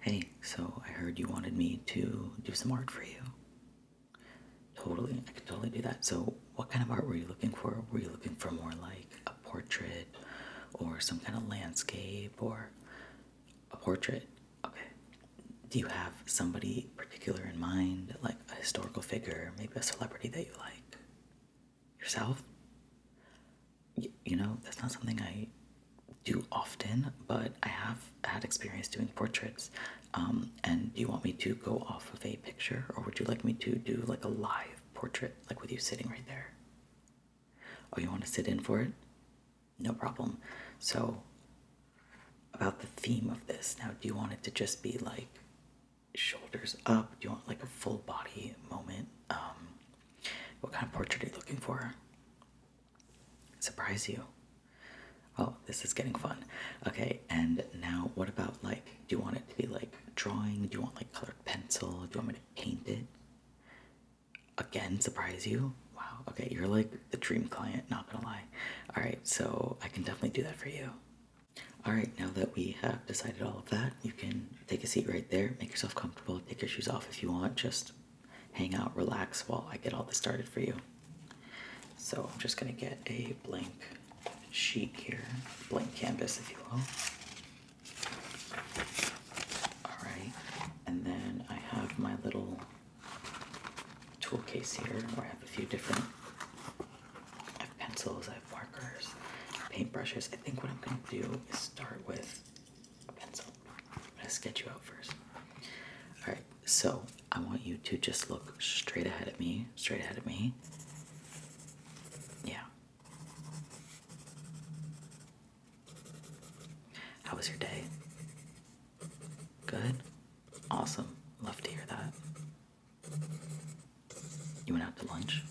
Hey, so I heard you wanted me to do some art for you. Totally, I could totally do that. So, what kind of art were you looking for? Were you looking for more like a portrait or some kind of landscape or a portrait? Okay. Do you have somebody particular in mind, like a historical figure, maybe a celebrity that you like? Yourself? you, know, that's not something I do often, but I have had experience doing portraits. Um, and do you want me to go off of a picture, or would you like me to do like a live portrait, like with you sitting right there? Oh, you want to sit in for it? No problem. So, about the theme of this, now do you want it to just be like shoulders up? Do you want like a full body moment? Um, what kind of portrait are you looking for? Surprise you. Oh, this is getting fun. Okay, and now what about like, do you want it to be like drawing? Do you want like colored pencil? Do you want me to paint it? Again, surprise you? Wow, okay, you're like the dream client, not gonna lie. All right, so I can definitely do that for you. All right, now that we have decided all of that, you can take a seat right there. Make yourself comfortable. Take your shoes off if you want. Just hang out, relax while I get all this started for you. So I'm just going to get a blank sheet here, blank canvas, if you will. All right, and then I have my little tool case here where I have a few different I have pencils, I have markers, paintbrushes. I think what I'm gonna do is start with a pencil. I'm gonna sketch you out first. Alright, so I want you to just look straight ahead at me, straight ahead at me. Yeah. How was your day? Good? Awesome. Love to hear that. You went out to lunch?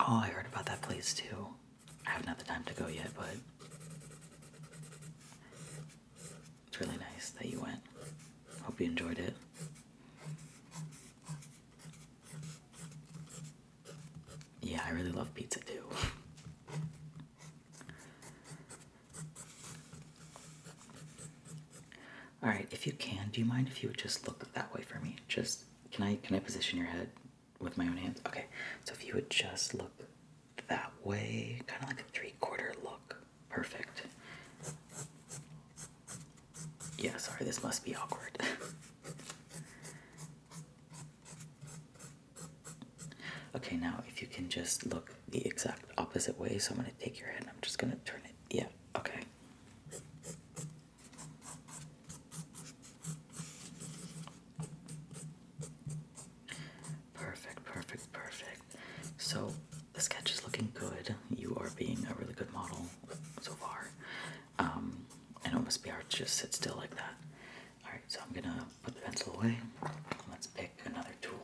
Oh, I heard about that place too. I haven't had the time to go yet, but it's really nice that you went. Hope you enjoyed it. Yeah, I really love pizza too. All right, if you can, do you mind if you would just look that way for me? Just can I can I position your head with my own hands? Okay, so if you would just look that way, kind of like a three-quarter look. Perfect. Yeah, sorry, this must be awkward. Okay, now if you can just look the exact opposite way, so I'm going to take your head and I'm just going to turn it. Yeah, okay. Perfect, perfect, perfect. So the sketch is looking good. You are being a really good model so far. Um, and it must be hard to just sit still like that. Alright, so I'm gonna put the pencil away. Let's pick another tool.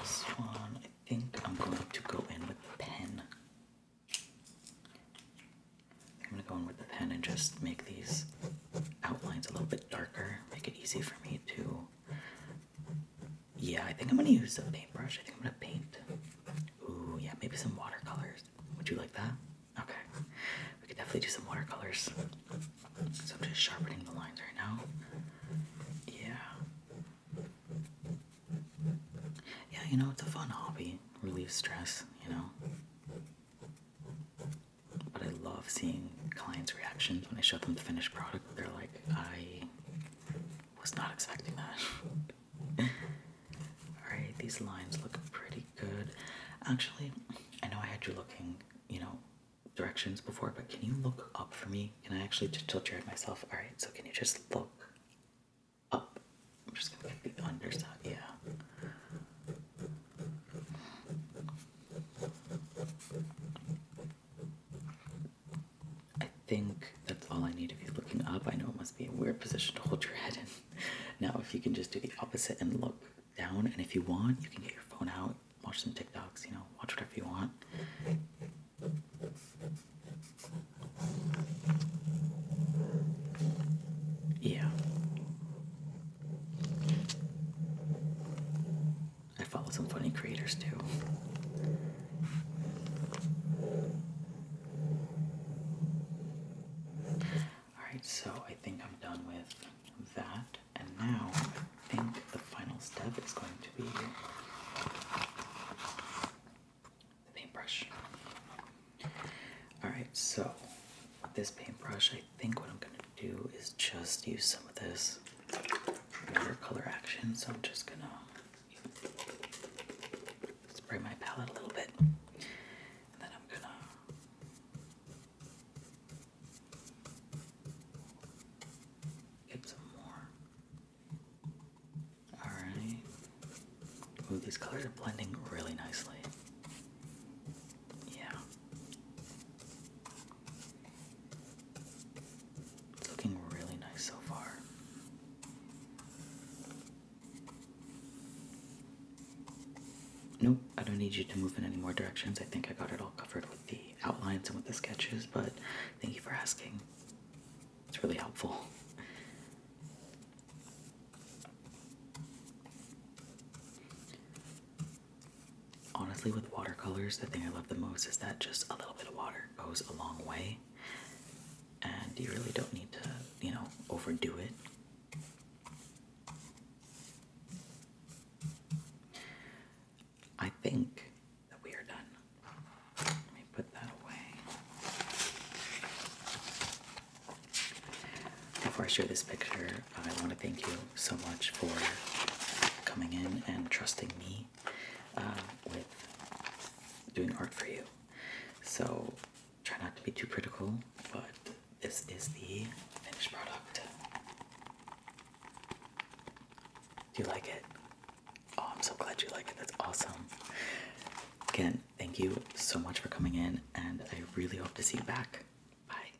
this one. I think I'm going to go in with the pen. I'm gonna go in with the pen and just make these outlines a little bit darker, make it easy for me to. Yeah, I think I'm gonna use a paintbrush. I think I'm gonna paint Ooh, yeah, maybe some watercolors. Would you like that? Okay. We could definitely do some watercolors. So I'm just sharpening the lines right now. Yeah. Yeah, you know, it's a fun hobby. relieve stress, you know. But I love seeing clients' reactions when I show them the finished product. They're like, I was not expecting that. Alright, these lines look pretty good. Actually, I know I had you looking, you know, directions before, but can you look up for me? Can I actually tilt your head myself? Alright, so can you just look up? I'm just gonna get the underside, yeah. I think that's all I need of you looking up. I know it must be a weird position to hold your head in. Now, if you can just do the opposite and look down, and if you want, you can get your phone out, watch some TikToks, you know, watch whatever you want. Yeah. I follow some funny creators too. Alright, so I think I'm done with that. And now I think the final step is going to be the paintbrush. Alright, so with this paintbrush, I think what I'm going to do is just use some of this watercolor action. So I'm just going to Spray my palette a little bit. And then I'm gonna get some more. Alright. Ooh, these colors are blending really nicely. Yeah looking really nice so far. Nope, I don't need you to move in any more directions. I think I got it all covered with the outlines and with the sketches, but thank you for asking. It's really helpful honestly with watercolors the thing i love the most is that just a little bit of water goes a long way and you really don't need to you know overdo it i think that we are done let me put that away before i share this picture I want to thank you so much for coming in and trusting me uh, with doing art for you. So try not to be too critical, but this is the finished product. Do you like it? Oh, I'm so glad you like it. That's awesome. Again, thank you so much for coming in, and I really hope to see you back. Bye.